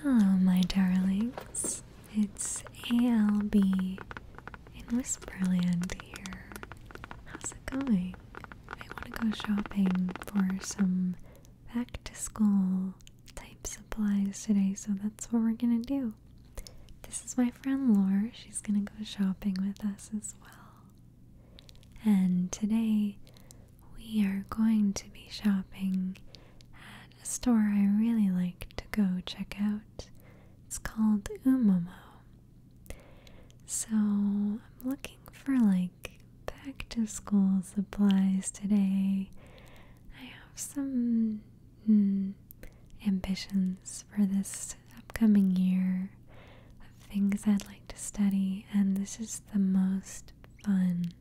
Hello, my darlings. It's ALB in Whisperland here. How's it going? I want to go shopping for some back to school type supplies today, so that's what we're gonna do. This is my friend Laura. She's gonna go shopping with us as well. And today we are going to be shopping at a store I really like to go check out. It's called Umomo. So I'm looking for like back to school supplies today. I have some hmm, ambitions for this upcoming year of things I'd like to study, and this is the most fun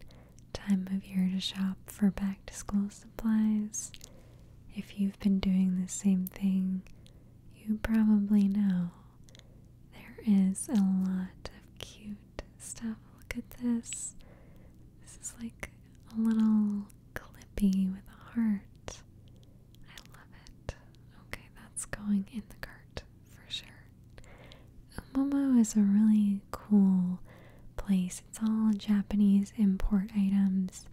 time of year to shop for back to school supplies. If you've been doing the same thing, you probably know there is a lot of cute stuff. Look at this. This is like a little clippy with a heart. I love it. Okay, that's going in the cart for sure. Momo is a really cool place. It's all Japanese import items.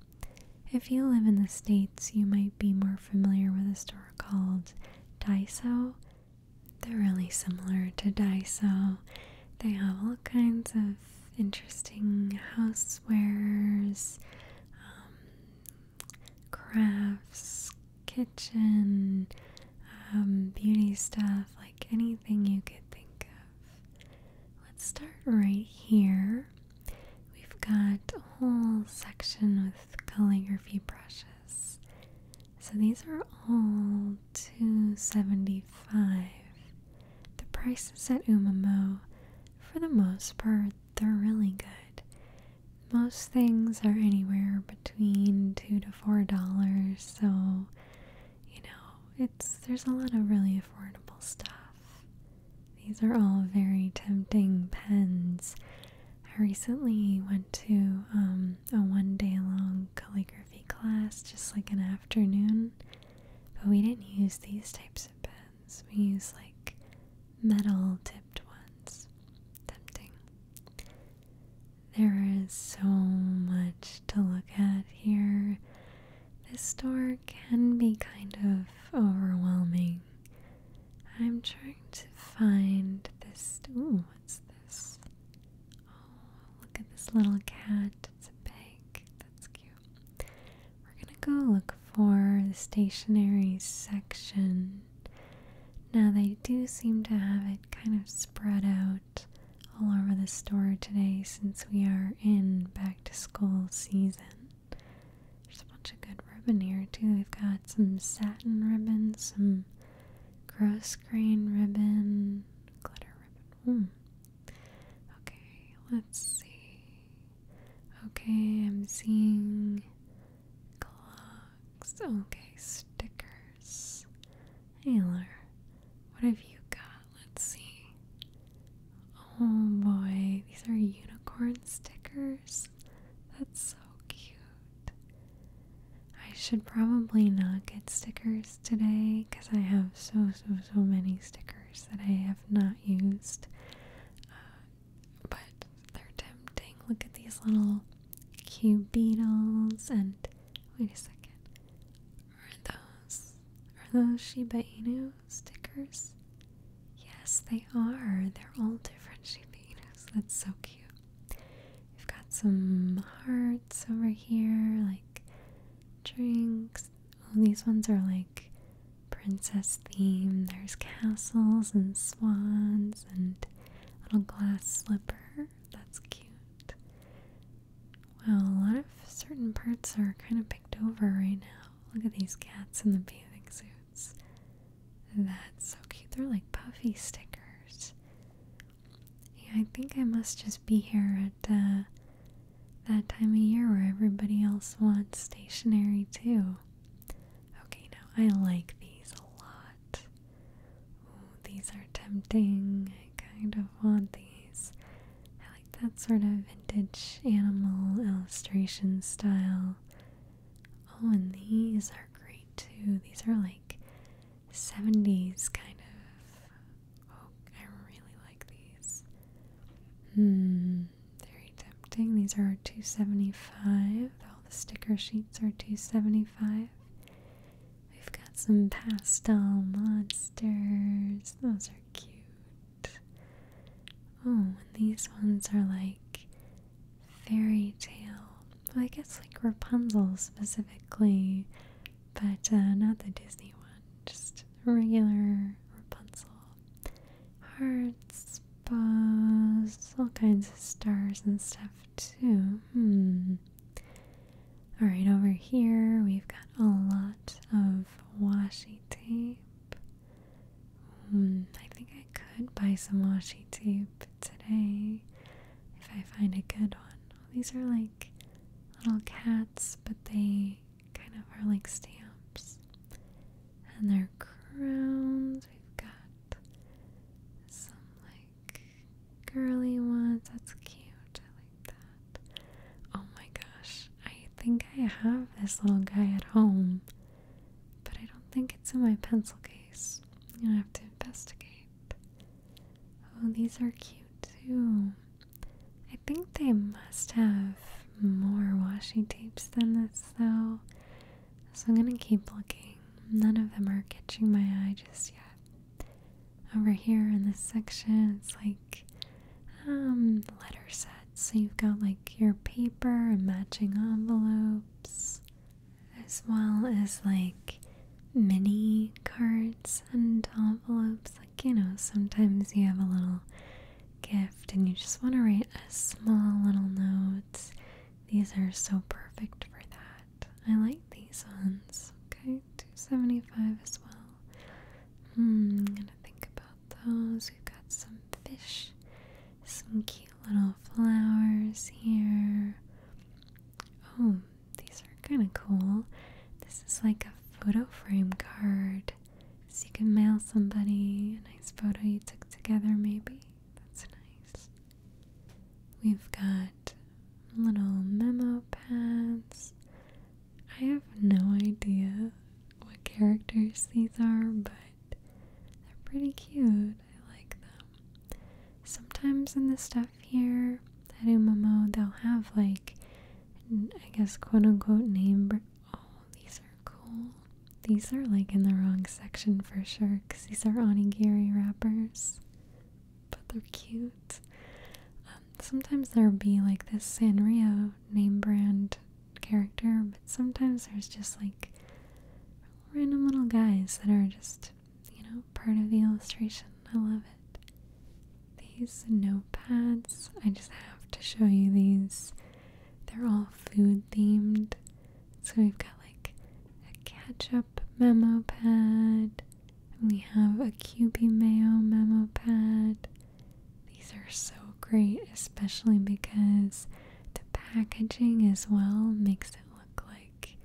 If you live in the States, you might be more familiar with a store called Daiso. They're really similar to Daiso. They have all kinds of interesting housewares, um, crafts, kitchen, um, beauty stuff, like anything you could think of. Let's start right here. We've got a whole section with calligraphy brushes. So these are all 275 The prices at Umamo, for the most part, they're really good. Most things are anywhere between two to four dollars, so you know, it's there's a lot of really affordable stuff. These are all very tempting pens. I recently went to um, a one day long calligraphy class, just like an afternoon, but we didn't use these types of pens. We used like metal tipped ones. Tempting. There is so much to look at here. This store can be kind of overwhelming. I'm trying to find this. Ooh, what's this? Oh, look at this little cat. It's a bag. That's cute. We're gonna go look for the stationery section. Now, they do seem to have it kind of spread out all over the store today since we are in back to school season. There's a bunch of good ribbon here too. We've got some satin ribbon, some gross grain ribbon, glitter ribbon. Hmm. Okay, let's see. Okay, I'm seeing clocks. Okay, stickers. Aylar, what have you got? Let's see. Oh boy, these are unicorn stickers. That's so cute. I should probably not get stickers today because I have so, so, so many stickers that I have not used. Uh, but they're tempting. Look at these little cute beetles and wait a second. Are those are those Shiba Inu stickers? Yes, they are. They're all different Shiba Inus. That's so cute. We've got some hearts over here, like drinks. All these ones are like princess theme. There's castles and swans and little glass slipper. That's cute. Well, a lot of certain parts are kind of picked over right now. Look at these cats in the bathing suits. That's so cute. They're like puffy stickers. Yeah, I think I must just be here at uh, that time of year where everybody else wants stationery too. Okay, now I like these a lot these are tempting. I kind of want these. I like that sort of vintage animal illustration style. Oh, and these are great too. These are like 70s kind of. Oh, I really like these. Hmm, very tempting. These are 275. All the sticker sheets are 275. We've got some pastel monsters. Those are cute. Oh, and these ones are like fairy tale. I guess like Rapunzel specifically, but uh, not the Disney one. Just regular Rapunzel. Hearts, bows, all kinds of stars and stuff too. Hmm. Alright, over here we've got a lot of washi tape. Hmm, I think I could buy some washi tape today if I find a good one. these are like little cats, but they kind of are like stamps. And their crowns, we've got some like girly ones. That's cute. I like that. Oh my gosh. I think I have this little guy at home, but I don't think it's in my pencil case. I'm gonna have to investigate. Oh, these are cute too. I think they must have more washi tapes than this though. So I'm gonna keep looking. None of them are catching my eye just yet. Over here in this section, it's like um, letter sets. So you've got like your paper and matching envelopes, as well as like mini cards and envelopes. Like, you know, sometimes you have a little gift and you just want to write a small little note. These are so perfect for that. I like these ones. Okay, 275 as well. Hmm, I'm gonna think about those. We've got some fish, some cute little flowers here. Oh, these are kind of cool. This is like a photo frame card. So you can mail somebody a nice photo you took together, maybe. That's nice. We've got little memo pads. I have no idea what characters these are, but they're pretty cute. I like them. Sometimes in the stuff here at Umamo, they'll have like, I guess, quote unquote name. Oh, these are cool. These are like in the wrong section for sure because these are onigiri wrappers but they're cute. Um, sometimes there'll be like this Sanrio name brand character, but sometimes there's just like random little guys that are just, you know, part of the illustration. I love it. These notepads, I just have to show you these. They're all food themed. So we've got like a ketchup memo pad, we have a QB Mayo memo pad. These are so great, especially because the packaging as well makes it look like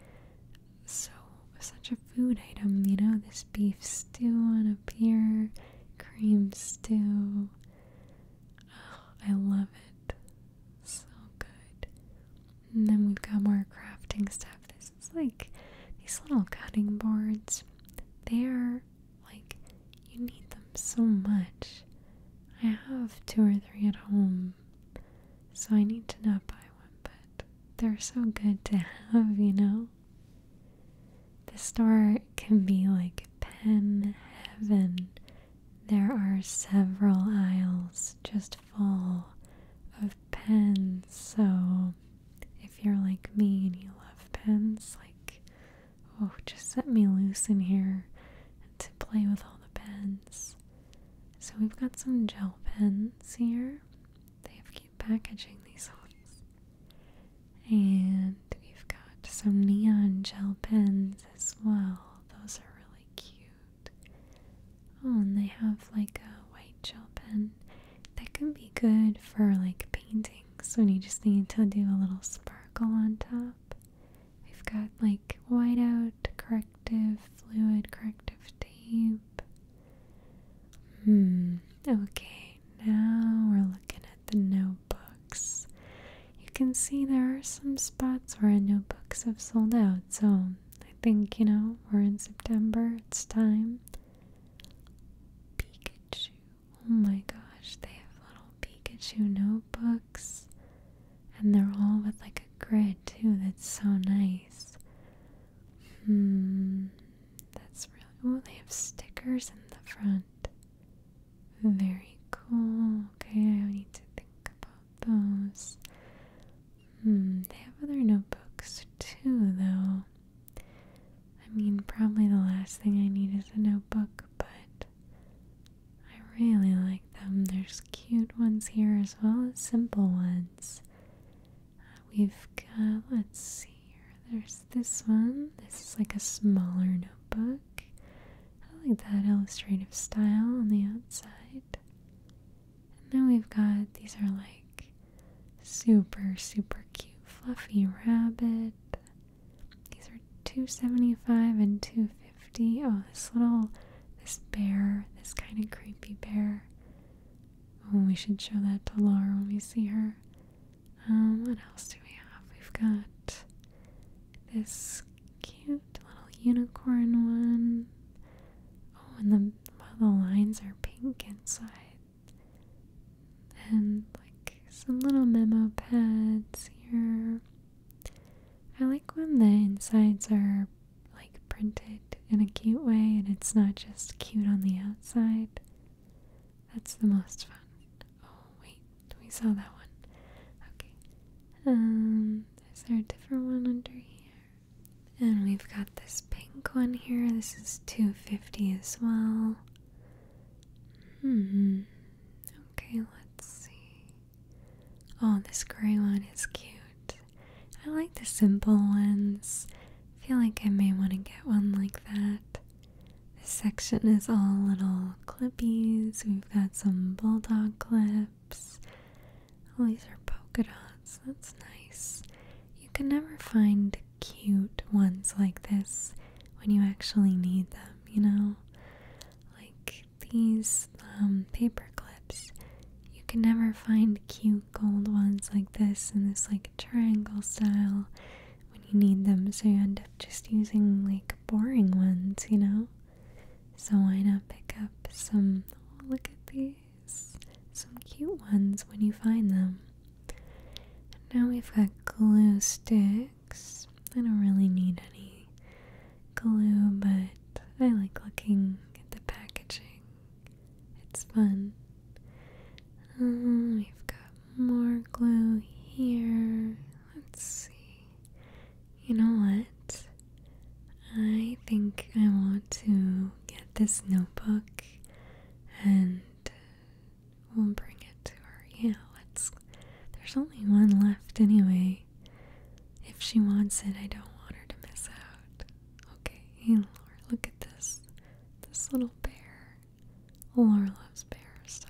so such a food item, you know, this beef stew on a pier, cream stew. Oh, I love it. So good. And then we've got more crafting stuff. This is like these little cutting boards. They are like, you need them so much. I have two or three at home, so I need to not buy one, but they're so good to have, you know? The store can be like pen heaven. There are several aisles just Full of pens. So if you're like me and you love pens, like oh, just set me loose in here to play with all the pens. So we've got some gel pens here. They have keep packaging these ones. And we've got some neon gel pens as well. Those are really cute. Oh, and they have like a white gel pen. That can be good for like paintings when you just need to do a little sparkle on top. We've got like whiteout, corrective fluid, corrective tape. Hmm, okay, now we're looking at the notebooks. You can see there are some spots where notebooks have sold out, so I think, you know, we're in September, it's time. Pikachu. Oh my gosh, they have little Pikachu notebooks. And they're all with like a grid too, that's so nice. Hmm, that's really. Oh, they have stickers in the front. Very cool. Okay, I need to think about those. Hmm, they have other notebooks too, though. I mean, probably the last thing I need is a notebook, but I really like them. There's cute ones here as well as simple ones. we've got, let's see here, there's this one. This is like a smaller notebook. I like that illustrative style on the outside. And then we've got these are like super super cute fluffy rabbit. These are 275 and 250. Oh, this little this bear, this kind of creepy bear. Oh, we should show that to Laura when we see her. Um, what else do we have? We've got this cute little unicorn one. Oh, and the the lines are pink inside. And like some little memo pads here. I like when the insides are like printed in a cute way and it's not just cute on the outside. That's the most fun. Oh wait, we saw that one. Okay. Um, is there a different one under here? And we've got this pink one here. This is 250 as well. Hmm. Okay, let's see. Oh, this gray one is cute. I like the simple ones. feel like I may want to get one like that. This section is all little clippies. We've got some bulldog clips caps. Oh, these are polka dots. That's nice. You can never find cute ones like this when you actually need them, you know? Like these um, paper clips. You can never find cute gold ones like this in this like triangle style when you need them, so you end up just using like boring ones, you know? So why not pick up some? look at these. Some cute ones when you find them. Now we've got glue sticks. I don't really need any glue, but I like looking at the packaging. It's fun. Um, we've got more glue here. Let's see. You know what? I think I want to get this notebook and we'll bring it to her. Yeah, let's. There's only one left anyway. If she wants it, I don't want her to miss out. Okay, hey, Laura, look at this. This little bear. Laura loves bears, so.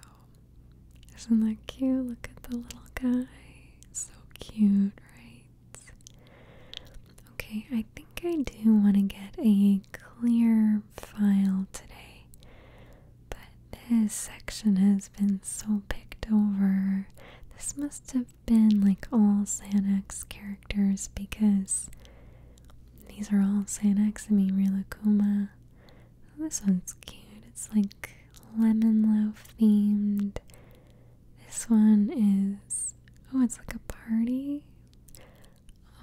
Isn't that cute? Look at the little guy. So cute, right? Okay, I think I do want to get a clear file today, but this section has been so picked over. This must have been like all Sanax characters because these are all Sanax. I mean, Rilakuma. this one's cute. It's like lemon loaf themed. This one is oh, it's like a party.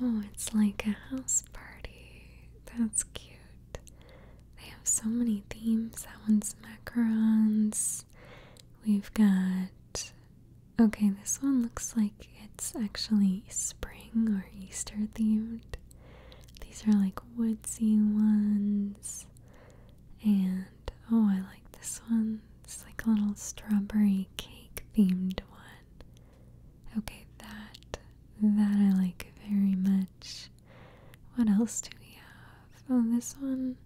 Oh, it's like a house party. That's cute. They have so many themes. That one's macarons. We've got okay, this one looks like it's actually spring or Easter themed. These are like woodsy ones. And oh, I like this one. It's like a little strawberry cake themed one. Okay, that that I like very much. What else do we have? Oh, this one.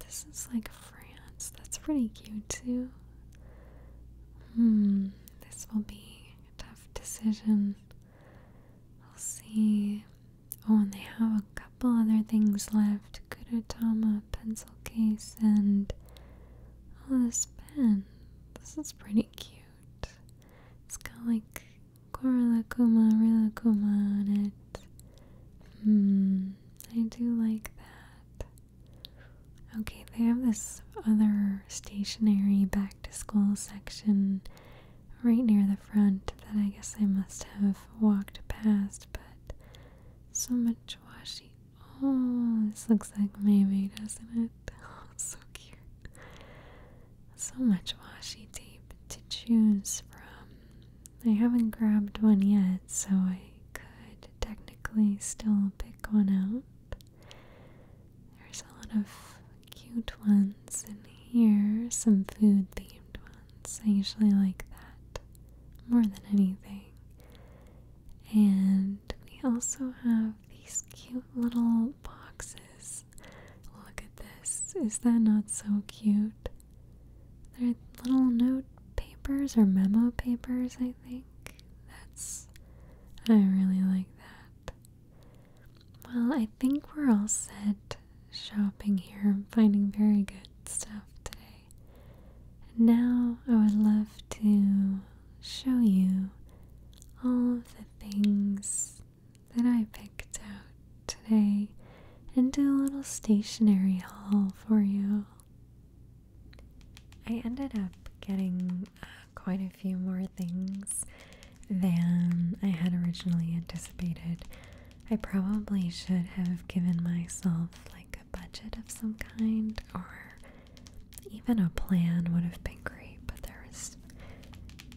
This is like France. That's pretty cute too. Hmm, this will be a tough decision. We'll see. Oh, and they have a couple other things left Kurutama pencil case and oh this pen this is pretty cute it's got like Koralakuma Rilakuma on it hmm I do like that okay they have this other stationary back to school section right near the front that I guess I must have walked past but so much washi. Oh, this looks like maybe, doesn't it? Oh, so cute. So much washi tape to choose from. I haven't grabbed one yet, so I could technically still pick one out. There's a lot of cute ones in here, some food themed ones. I usually like that more than anything. And we also have these cute little boxes. Look at this. Is that not so cute? They're little note papers or memo papers, I think. That's. I really like that. Well, I think we're all set shopping here. I'm finding very good stuff today. And now I would love to show you all of the things that I picked out today and do a little stationery haul for you. I ended up getting uh, quite a few more things than I had originally anticipated. I probably should have given myself like a budget of some kind or even a plan would have been great, but there was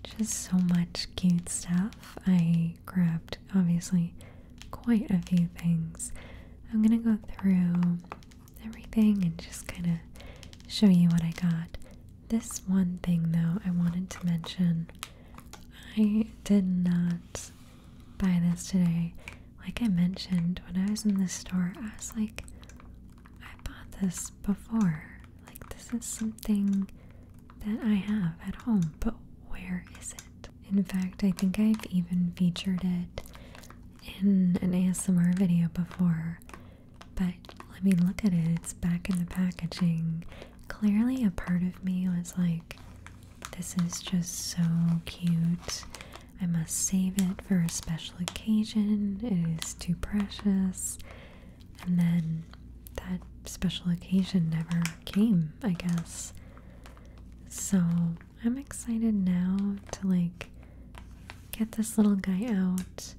just so much cute stuff. I grabbed obviously quite a few things. I'm gonna go through everything and just kind of show you what I got. This one thing though, I wanted to mention I did not buy this today. Like I mentioned, when I was in this store, I was like, I bought this before. Like, this is something that I have at home, but where is it? In fact, I think I've even featured it in an ASMR video before. But let me look at it, it's back in the packaging. Clearly, a part of me was like, this is just so cute. I must save it for a special occasion. It is too precious. And then that special occasion never came, I guess. So I'm excited now to like get this little guy out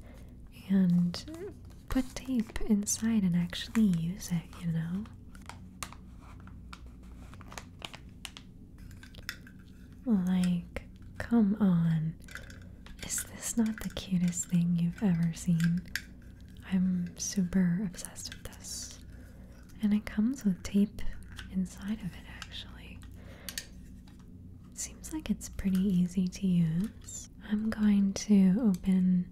and put tape inside and actually use it, you know? Like, come on. Is this not the cutest thing you've ever seen? I'm super obsessed with this. And it comes with tape inside of it, actually. Seems like it's pretty easy to use. I'm going to open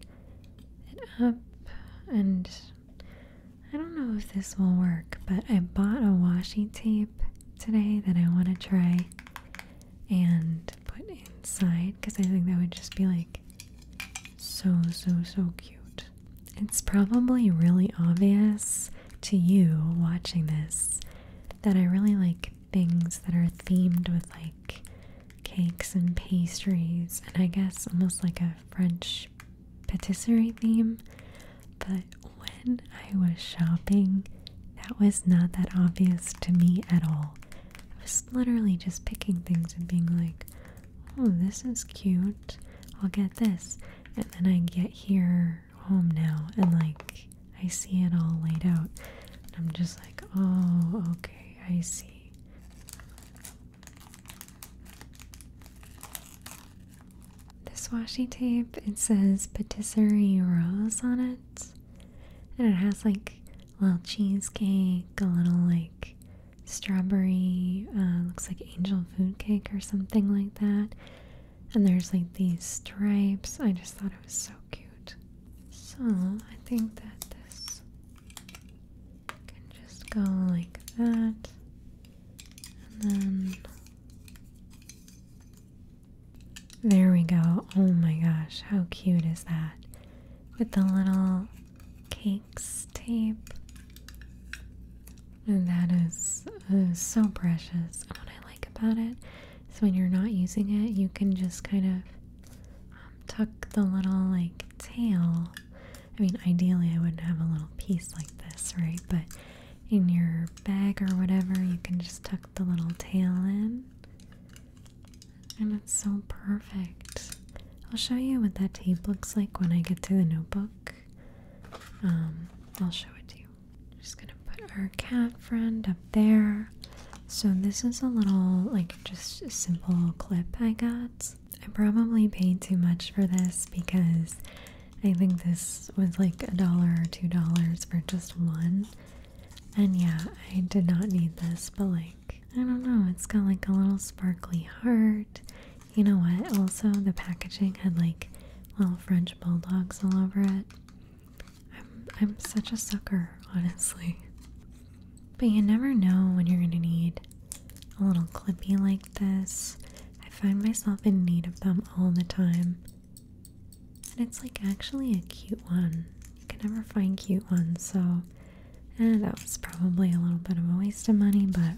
it up and I don't know if this will work, but I bought a washi tape today that I want to try and put inside because I think that would just be like so, so, so cute. It's probably really obvious to you watching this that I really like things that are themed with like cakes and pastries and I guess almost like a French patisserie theme, but when I was shopping, that was not that obvious to me at all. I was literally just picking things and being like, oh, this is cute, I'll get this. And then I get here home now and like I see it all laid out. And I'm just like, oh, okay, I see. This washi tape, it says Patisserie Rose on it. And it has like a little cheesecake, a little like strawberry, uh, looks like angel food cake or something like that. And there's like these stripes. I just thought it was so cute. So I think that this can just go like that and then there we go. Oh my gosh, how cute is that? With the little cakes tape. And that is, so precious. And what I like about it is when you're not using it, you can just kind of um, tuck the little like tail I mean, ideally, I wouldn't have a little piece like this, right? But in your bag or whatever, you can just tuck the little tail in. And it's so perfect. I'll show you what that tape looks like when I get to the notebook. Um, I'll show it to you. just gonna put our cat friend up there. So this is a little, like, just a simple clip I got. I probably paid too much for this because I think this was like a dollar or two dollars for just one. And yeah, I did not need this, but like, I don't know, it's got like a little sparkly heart. You know what? Also, the packaging had like little French bulldogs all over it. I'm, I'm such a sucker, honestly. But you never know when you're going to need a little clippy like this. I find myself in need of them all the time. And it's like actually a cute one. You can never find cute ones, so eh, that was probably a little bit of a waste of money, but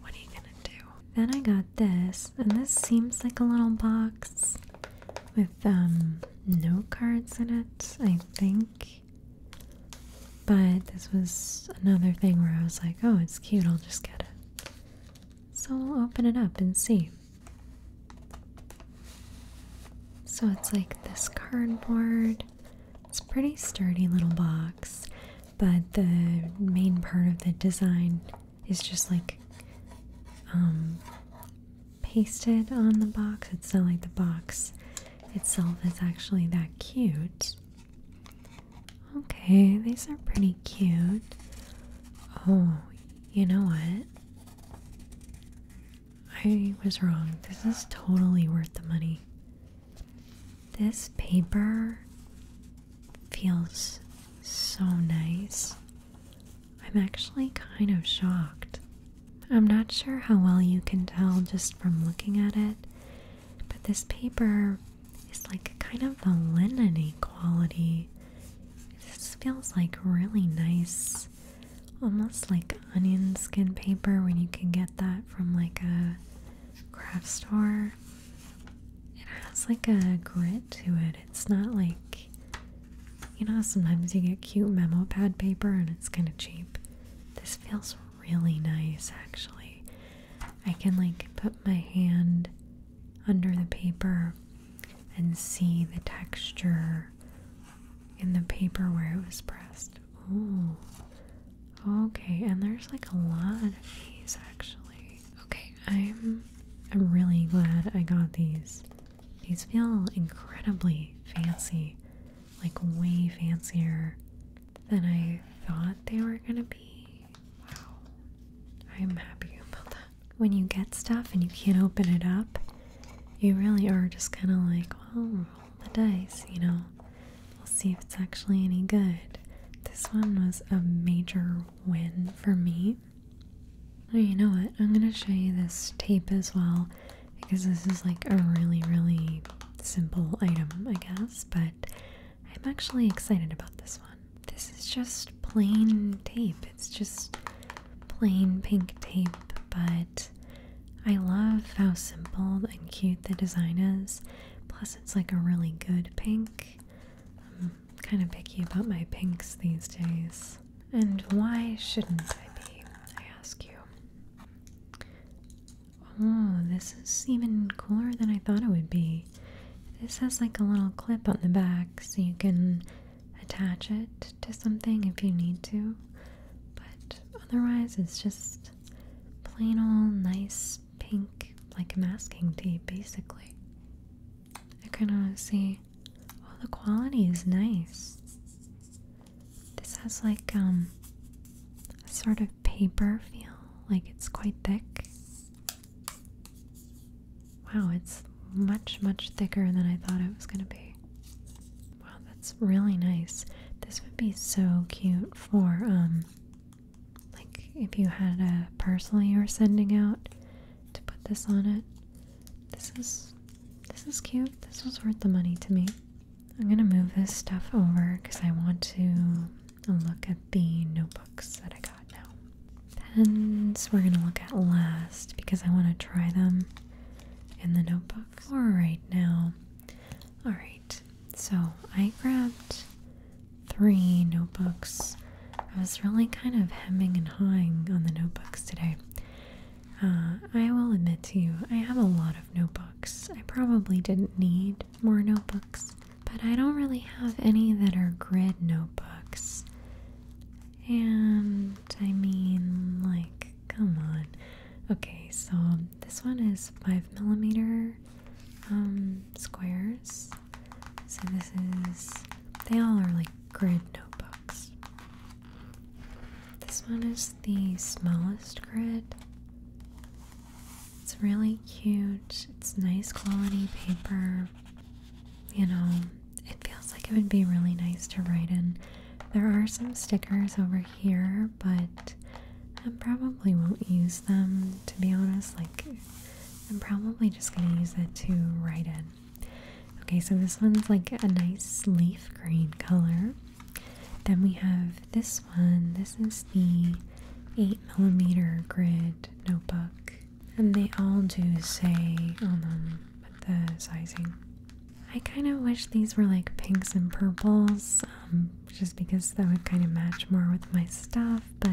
what are you gonna do? Then I got this, and this seems like a little box with um, note cards in it, I think. But this was another thing where I was like, oh, it's cute, I'll just get it. So we'll open it up and see. So it's like this cardboard. It's a pretty sturdy little box, but the main part of the design is just like um, pasted on the box. It's not like the box itself is actually that cute. Okay, these are pretty cute. Oh, you know what? I was wrong. This is totally worth the money. This paper feels so nice. I'm actually kind of shocked. I'm not sure how well you can tell just from looking at it, but this paper is like kind of a lineny quality. This feels like really nice, almost like onion skin paper when you can get that from like a craft store. It has like a grit to it. It's not like you know, sometimes you get cute memo pad paper and it's kind of cheap. This feels really nice actually. I can like put my hand under the paper and see the texture in the paper where it was pressed. Ooh. Okay, and there's like a lot of these actually. Okay, I'm I'm really glad I got these. These feel incredibly fancy like way fancier than I thought they were gonna be. Wow. I'm happy about that. When you get stuff and you can't open it up, you really are just kind of like, well, roll the dice, you know, we'll see if it's actually any good. This one was a major win for me. Oh, you know what? I'm gonna show you this tape as well because this is like a really, really simple item, I guess, but I'm actually excited about this one. This is just plain tape, it's just plain pink tape, but I love how simple and cute the design is. Plus, it's like a really good pink. I'm kind of picky about my pinks these days. And why shouldn't I be? I ask you. Oh, this is even cooler than I thought it would be. This has like a little clip on the back so you can attach it to something if you need to. But otherwise, it's just plain old nice pink, like masking tape basically. I kind of see, oh, the quality is nice. This has like um a sort of paper feel, like it's quite thick. Wow, it's much much thicker than I thought it was going to be. Wow, that's really nice. This would be so cute for um like if you had a parcel you were sending out to put this on it. This is this is cute. This was worth the money to me. I'm gonna move this stuff over because I want to look at the notebooks that I got now. Pens we're gonna look at last because I want to try them in the notebooks. All right now. All right. So I grabbed three notebooks. I was really kind of hemming and hawing on the notebooks today. Uh, I will admit to you, I have a lot of notebooks I probably didn't need more notebooks, but I don't really have any that are grid notebooks. And I mean, like, come on. Okay, so this one is 5 millimeter um, squares. So this is, they all are like grid notebooks. This one is the smallest grid. It's really cute. It's nice quality paper. You know, it feels like it would be really nice to write in. There are some stickers over here, but I probably won't use them to be honest. Like, I'm probably just going to use it to write in. Okay, so this one's like a nice leaf green color. Then we have this one. This is the 8 millimeter grid notebook. And they all do say on them the sizing. I kind of wish these were like pinks and purples, um, just because that would kind of match more with my stuff, but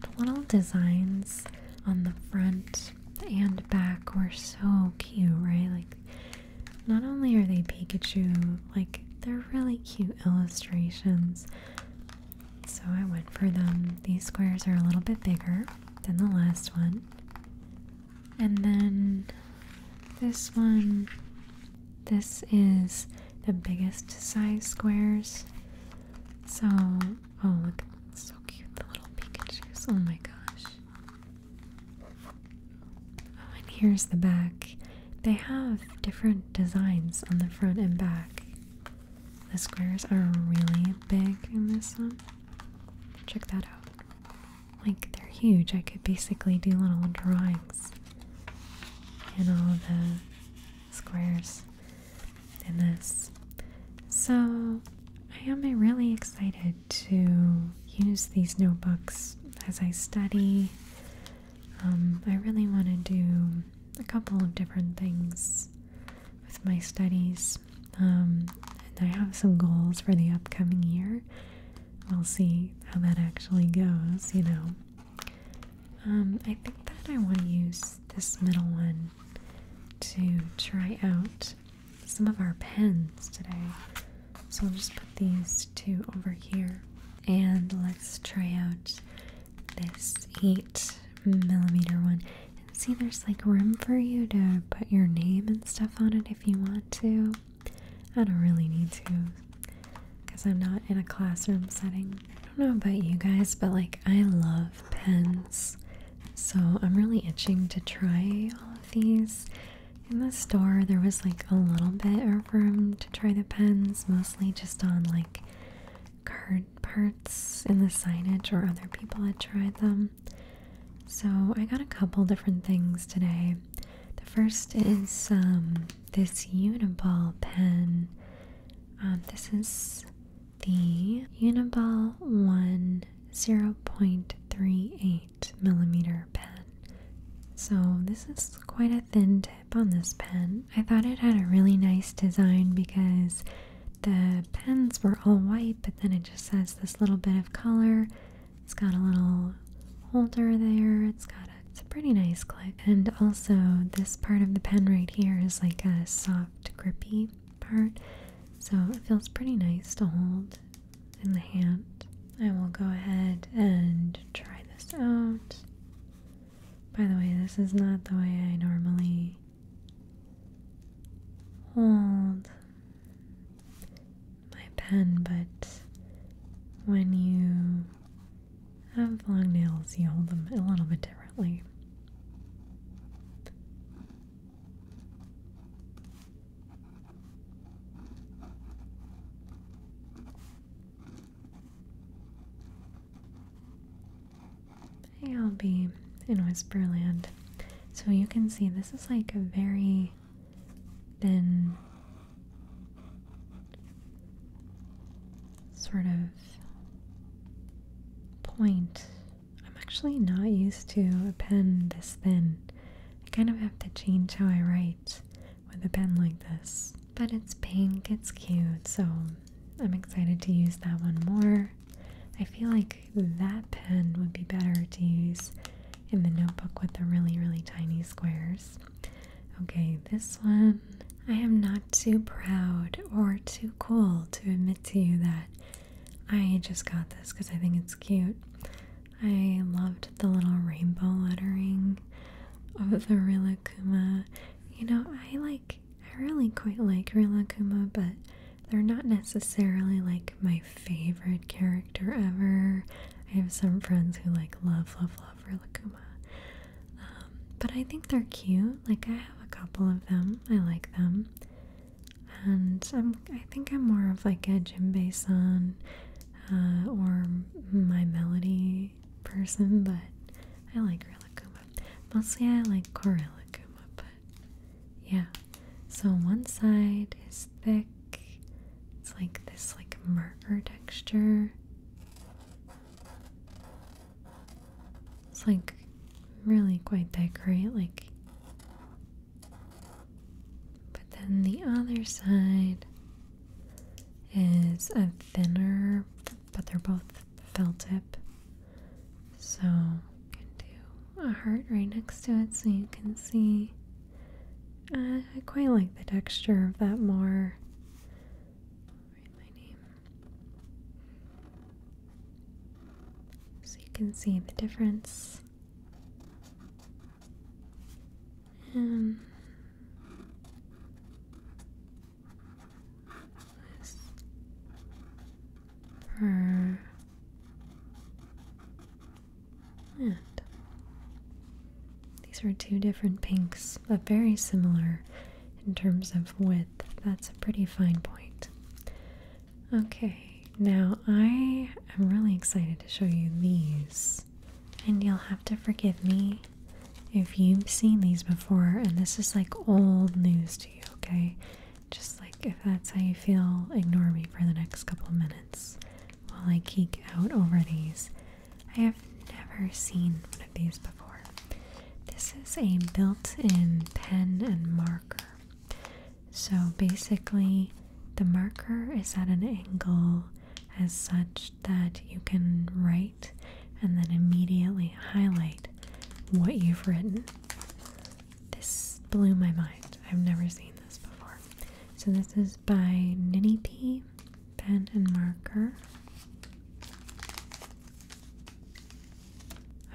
the little designs on the front and back were so cute, right? Like not only are they Pikachu, like they're really cute illustrations. So I went for them. These squares are a little bit bigger than the last one. And then this one, this is the biggest size squares. So, oh look, so cute, the little Pikachus. Oh my gosh. Oh, and here's the back. They have different designs on the front and back. The squares are really big in this one. Check that out. Like, they're huge. I could basically do little drawings in all the squares in this. So, I am really excited to use these notebooks as I study um, I really want to do a couple of different things with my studies, um, and I have some goals for the upcoming year. We'll see how that actually goes, you know. Um, I think that I want to use this middle one to try out some of our pens today. So I'll just put these two over here. And let's try out this 8 millimeter one. And see, there's like room for you to put your name and stuff on it if you want to. I don't really need to because I'm not in a classroom setting. I don't know about you guys, but like I love pens. So I'm really itching to try all of these in the store there was like a little bit of room to try the pens, mostly just on like card parts in the signage or other people had tried them. So I got a couple different things today. The first is um, this Uniball pen. Um, this is the Uniball 1 0.38 millimeter pen. So this is quite a thin tip on this pen. I thought it had a really nice design because the pens were all white, but then it just has this little bit of color. It's got a little holder there. It's got it's a pretty nice click. And also this part of the pen right here is like a soft grippy part. So it feels pretty nice to hold in the hand. I will go ahead and try this out. By the way, this is not the way I normally hold my pen, but when you have long nails, you hold them a little bit differently. Hey, I'll be in Whisperland. So you can see this is like a very thin sort of point. I'm actually not used to a pen this thin. I kind of have to change how I write with a pen like this. But it's pink, it's cute, so I'm excited to use that one more. I feel like that pen would be better to use in the notebook with the really, really tiny squares. Okay, this one. I am not too proud or too cool to admit to you that I just got this because I think it's cute. I loved the little rainbow lettering of the Rilakkuma. You know, I like, I really quite like Rilakkuma, but they're not necessarily like my favorite character ever. I have some friends who like love, love, love Rilakkuma. Um, but I think they're cute. Like, I have a couple of them. I like them. And I'm, I think I'm more of like a Jimbei-san uh, or my melody person, but I like Rilakkuma. Mostly I like Corelacuma, but yeah. So one side is thick. It's like this like murker texture. It's like really quite thick, right? Like but then the other side is a thinner, but they're both felt tip. So you can do a heart right next to it so you can see. Uh, I quite like the texture of that more. Write my name. So you can see the difference and whisper and these are two different pinks, but very similar in terms of width. That's a pretty fine point. Okay, now I am really excited to show you these. And you'll have to forgive me if you've seen these before and this is like old news to you, okay? Just like if that's how you feel, ignore me for the next couple minutes while I geek out over these. I have never seen one of these before. This is a built in pen and marker. So basically, the marker is at an angle as such that you can write and then immediately highlight what you've written. This blew my mind. I've never seen this before. So this is by Ninny P, pen and marker.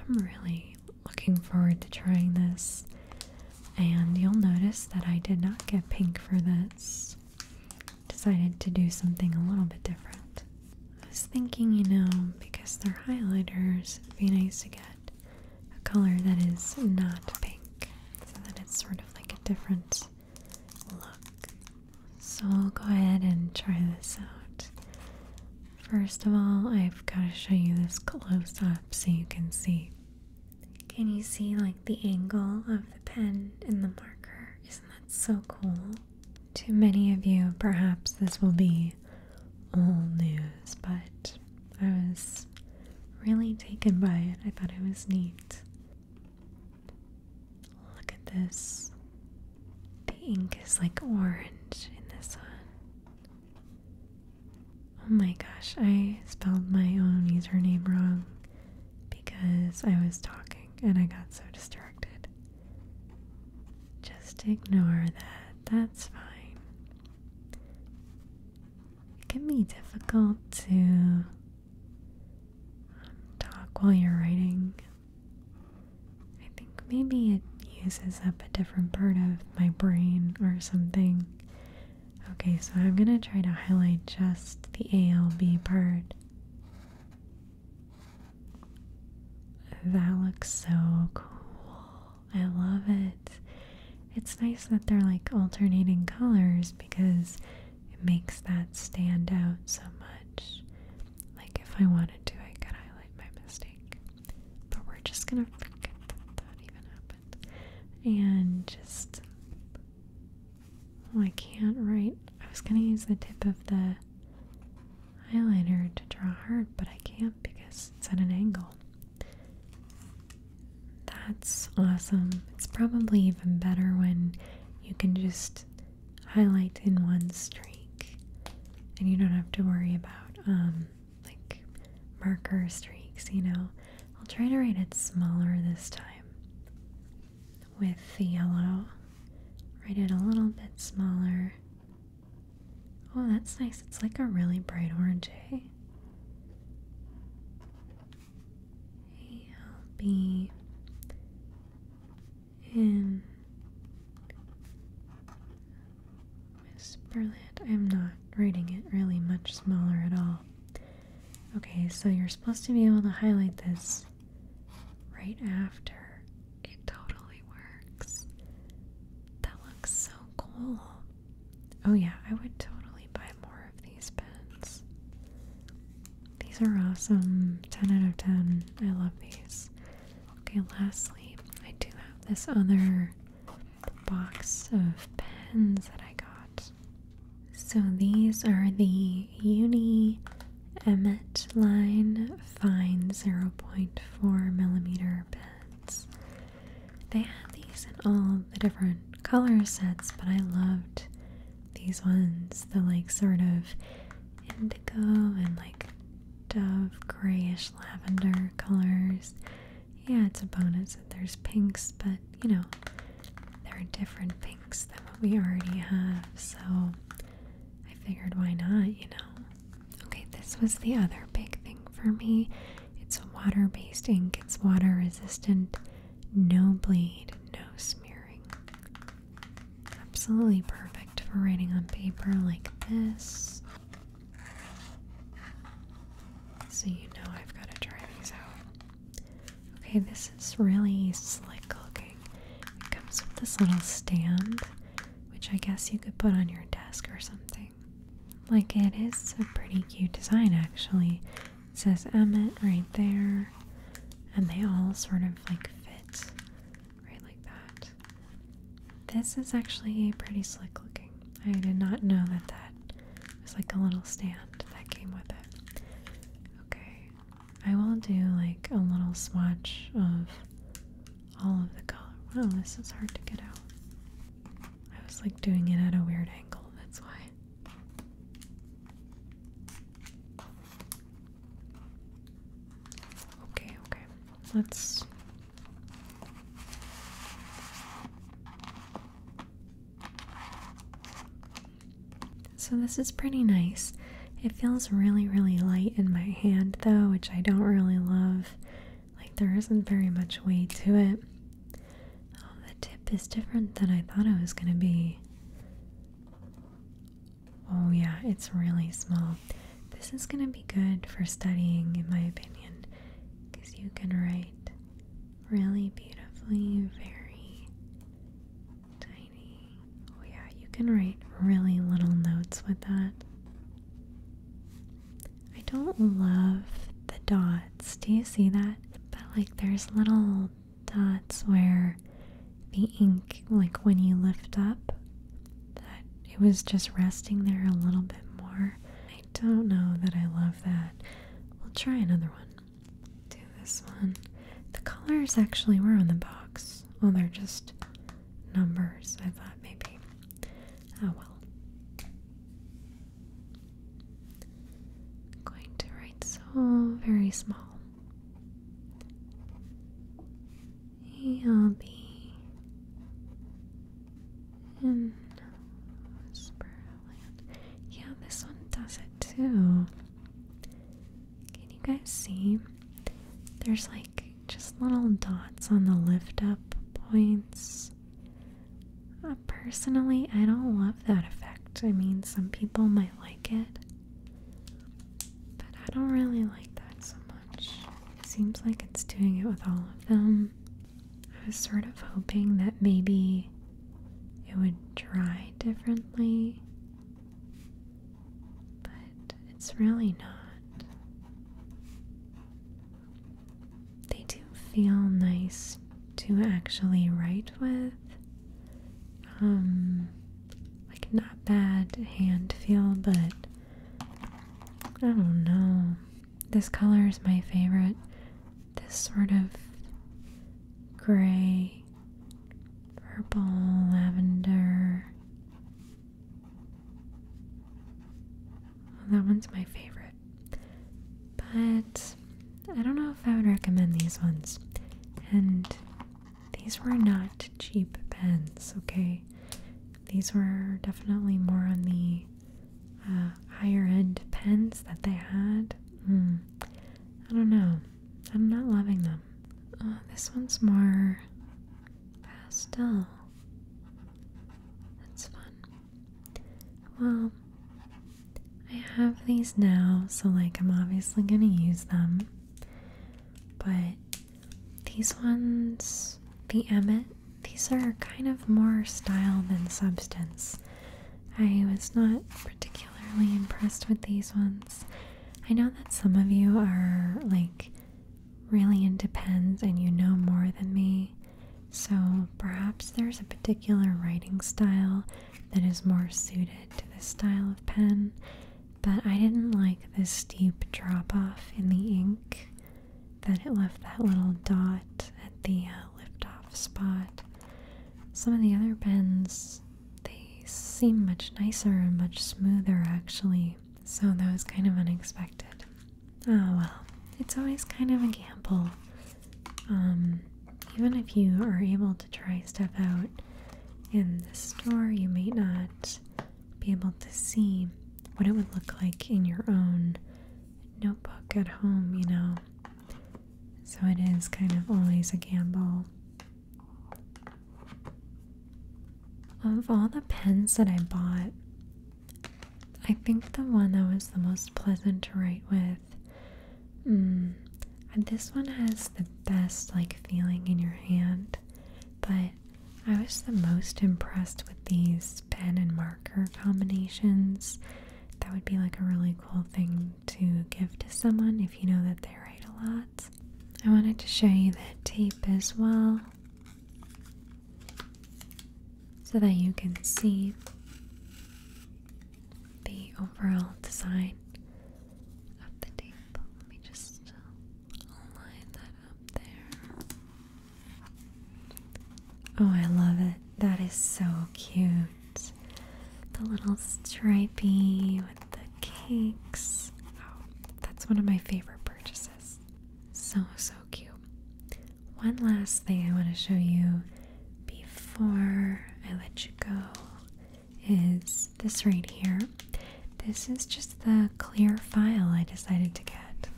I'm really looking forward to trying this. And you'll notice that I did not get pink for this. Decided to do something a little bit different. I was thinking, you know, because they're highlighters, it'd be nice to get a color that is not pink so that it's sort of like a different look. So I'll go ahead and try this out. First of all, I've got to show you this close up so you can see. Can you see like the angle of the pen and the marker? Isn't that so cool? To many of you, perhaps this will be all news, but I was really taken by it. I thought it was neat. Look at this. The ink is like orange in this one. Oh my gosh, I spelled my own username wrong because I was talking and I got so distracted. Just ignore that. That's fine. It can be difficult to um, talk while you're writing. I think maybe it uses up a different part of my brain or something. Okay, so I'm going to try to highlight just the ALB part. That looks so cool. I love it. It's nice that they're like alternating colors because it makes that stand out so much. Like if I wanted to, I could highlight my mistake. But we're just gonna forget that even happened. And just Oh, I can't write. I was gonna use the tip of the highlighter to draw hard, but I can't because it's at an angle. That's awesome. It's probably even better when you can just highlight in one streak and you don't have to worry about um like marker streaks, you know. I'll try to write it smaller this time. With the yellow, write it a little bit smaller. Oh, that's nice. It's like a really bright orange, eh? I'll be I'm not writing it really much smaller at all. Okay, so you're supposed to be able to highlight this right after. It totally works. That looks so cool. Oh, yeah, I would totally buy more of these pens. These are awesome. 10 out of 10. I love these. Okay, lastly, I do have this other the box of pens that I got. So these are the Uni Emmet line fine 0.4 millimeter pens. They had these in all the different color sets, but I loved these ones. The like sort of indigo and like dove grayish lavender colors. Yeah, it's a bonus that there's pinks, but you know, there are different pinks than what we already have, so I figured why not, you know? Okay, this was the other big thing for me. It's water based ink, it's water resistant, no bleed, no smearing. Absolutely perfect for writing on paper like this. So, you know, I've got to try these out. Okay, this is really slick looking. It comes with this little stand, which I guess you could put on your desk or something. Like, it is a pretty cute design, actually. says Emmett right there, and they all sort of like fit right like that. This is actually a pretty slick looking. I did not know that that it's like a little stand that came with it. Okay, I will do like a little swatch of all of the color. Wow, this is hard to get out. I was like doing it at a weird angle, that's why. Okay, okay. Let's so, this is pretty nice. It feels really, really light in my hand, though, which I don't really love. Like, there isn't very much weight to it. Oh, the tip is different than I thought it was going to be. Oh, yeah, it's really small. This is going to be good for studying, in my opinion, because you can write really beautifully, very tiny. Oh, yeah, you can write really little notes with that. I don't love the dots. Do you see that? But like, there's little dots where the ink, like when you lift up, that it was just resting there a little bit more. I don't know that I love that. We'll try another one do this one. The colors actually were on the box. Oh, they're just numbers. I thought maybe. Oh well. I'm going to write so very small. I'll be in whisper yeah, this one does it too. Can you guys see? There's like just little dots on the lift up points. Uh, personally, I don't love that effect. I mean, some people might like it, but I don't really like that so much. It seems like it's doing it with all of them. I was sort of hoping that maybe it would dry differently, but it's really not. They do feel nice to actually write with. Um, like not bad hand feel, but I don't know. This color is my favorite. This sort of gray, purple, lavender. that one's my favorite. But I don't know if I would recommend these ones. And these were not cheap pens, okay? These were definitely more on the uh, higher end pens that they had. Hmm. I don't know. I'm not loving them. Uh, this one's more pastel. That's fun. Well, I have these now, so like I'm obviously gonna use them. But these ones, the Emmet, these are kind of more style than substance. I was not particularly impressed with these ones. I know that some of you are like really into pens and you know more than me, so perhaps there's a particular writing style that is more suited to this style of pen, but I didn't like the steep drop off in the ink that it left that little dot at the uh, liftoff spot. Some of the other pens, they seem much nicer and much smoother actually, so that was kind of unexpected. Oh well, it's always kind of a gamble. Um, even if you are able to try stuff out in the store, you may not be able to see what it would look like in your own notebook at home, you know. So it is kind of always a gamble. Of all the pens that I bought, I think the one that was the most pleasant to write with. Mm, this one has the best like feeling in your hand, but I was the most impressed with these pen and marker combinations that would be like a really cool thing to give to someone if you know that they write a lot. I wanted to show you that tape as well so that you can see the overall design of the tape. Let me just line that up there. Oh, I love it. That is so cute the little stripy with the cakes. Oh, that's one of my favorite purchases. So, so cute. One last thing I want to show you before I let you go is this right here. This is just the clear file I decided to get.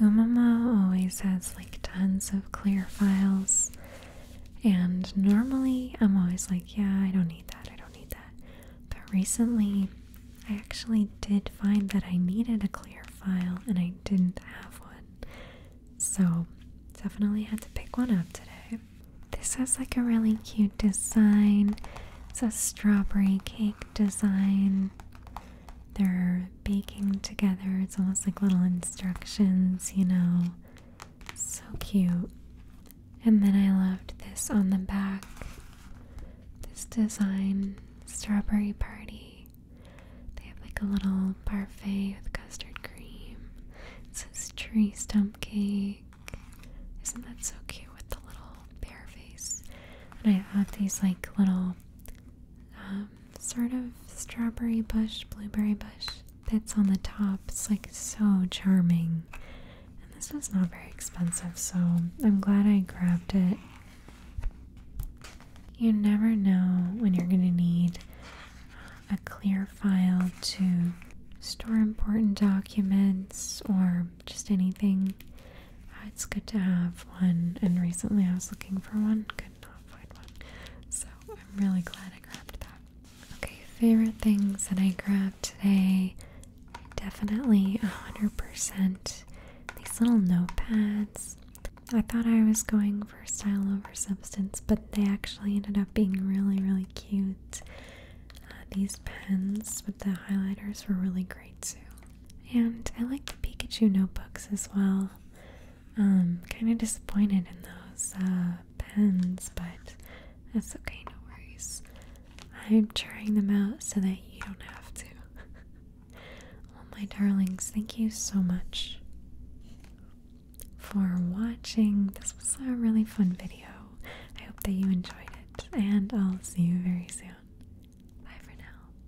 Umama always has like tons of clear files, and normally I'm always like, yeah, I don't need that, I don't need that. But recently, I actually did find that I needed a clear file and I didn't have one. So, definitely had to pick one up today. This has like a really cute design. It's a strawberry cake design. They're baking together. It's almost like little instructions, you know. So cute. And then I loved this on the back. This design, Strawberry Party. They have like a little parfait with custard cream. It says tree stump cake. Isn't that so cute with the little bear face? And I have these like little um, sort of strawberry bush, blueberry bush that's on the top. It's like so charming. And this was not very expensive, so I'm glad I grabbed it. You never know when you're going to need a clear file to store important documents or just anything Ah, it's good to have one, and recently I was looking for one, could not find one, so I'm really glad I grabbed that. Okay, favorite things that I grabbed today, definitely 100% these little notepads. I thought I was going for style over substance, but they actually ended up being really, really cute. Uh, these pens with the highlighters were really great too. And I like the Pikachu notebooks as well. Um, kind of disappointed in those uh, pens, but that's okay, no worries. I'm trying them out so that you don't have to. well, oh, my darlings, thank you so much for watching. This was a really fun video. I hope that you enjoyed it, and I'll see you very soon. Bye for now.